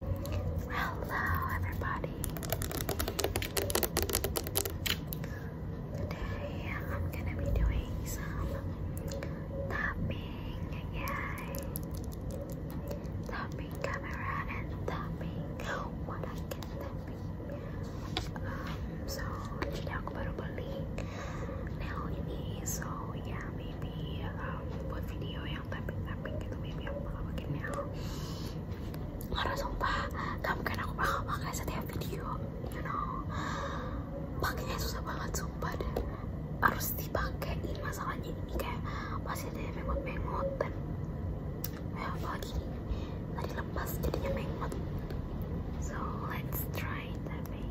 Hello, everybody. Today I'm gonna be doing some tapping. Yay! Tapping camera tapping. What I can tapping. Um, so today I'm gonna be now in so yeah, maybe um, what video tapi tapi gitu baby aku bakal bikin aku ya. harus sumpah gak mungkin aku bakal pakai setiap video you know pakainya susah banget sumpah deh harus dipakein masalahnya ini kayak masih ada yang mengot-mengot dan ya eh, apalagi ini tadi lepas jadinya mengot so let's try tapping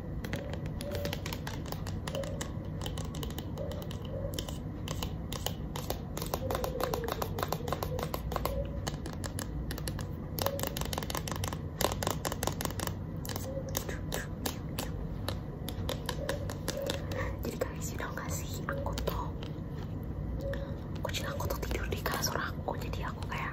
Jadi guys, you know gak sih aku tuh kucing aku tuh tidur di kasur aku jadi aku kayak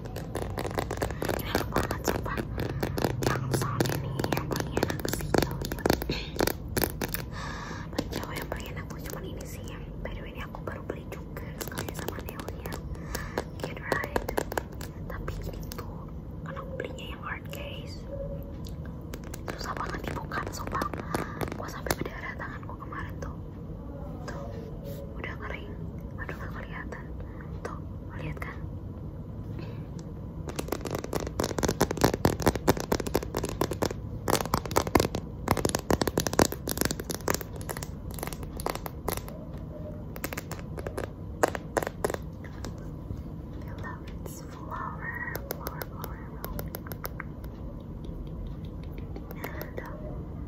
ini enak banget sumpah yang sound ini yang paling enak sih ya. yang paling enak cuman ini sih yang by ini aku baru beli juga sekali sama Neolia get right tapi ini tuh karena aku belinya yang hard case susah banget dibuka sumpah gue sampai berdarah tanganku kemarin tuh tuh udah kering aduh gak kelihatan tuh lihat kan love its flower, flower, flower. And, uh,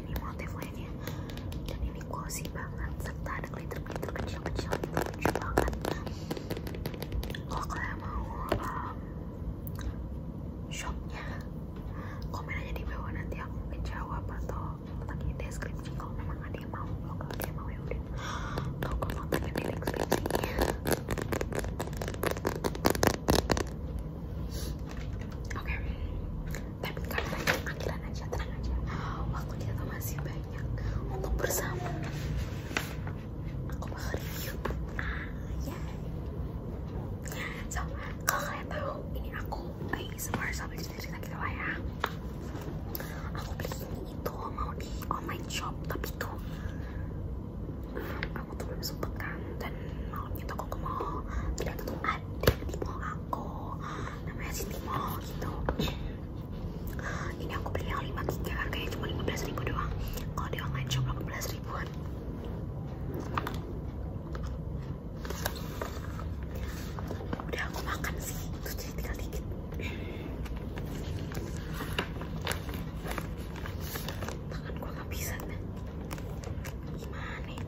ini motif lainnya dan ini glossy banget serta ada glitter glitter kecil kecil gitu lucu banget kalau kalian mau um, shopnya komen aja di bawah nanti aku mungkin jawab atau letak deskripsi kalau memang ada yang mau kalau ada yang mau ya udah aku kontaknya di deskripsinya oke tapi kalian akhiran aja tenang aja waktu kita masih banyak untuk bersama aku bakal review ah ya so kalau kalian tahu ini aku ASMR sambil cerita-cerita gitu lah ya aku beli ini itu mau di online shop tapi itu um, aku tuh belum sempet kan dan malamnya tuh aku ke mall ternyata tuh ada di mall aku namanya City Mall gitu ini aku beli yang lima giga harganya cuma lima belas ribu doang kalau di online lima belas ribuan udah aku makan sih terus jadi tinggal dikit tangan gue gak bisa nih gimana nih ya?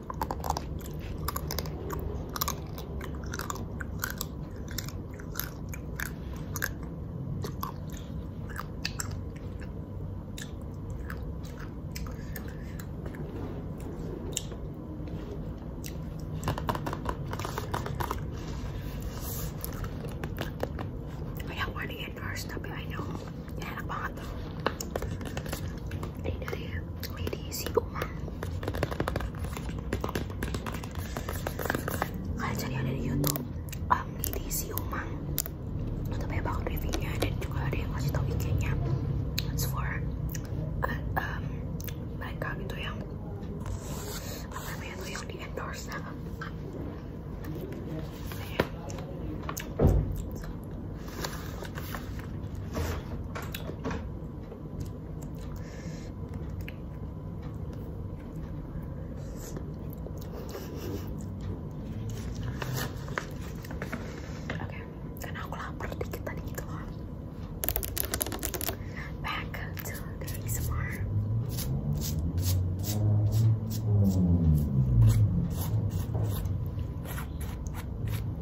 I got one to get first I know. ya enak banget ini dari medisi umang kalian cari ada di youtube um, medisi umang itu ya, banyak banget reviewnya dan juga ada yang kasih tau bikinnya. nya for uh, um, mereka gitu yang apa namanya tuh yang di endorse nah, Oke, karena aku lapar dikit tadi gitu loh. Back to the ASMR.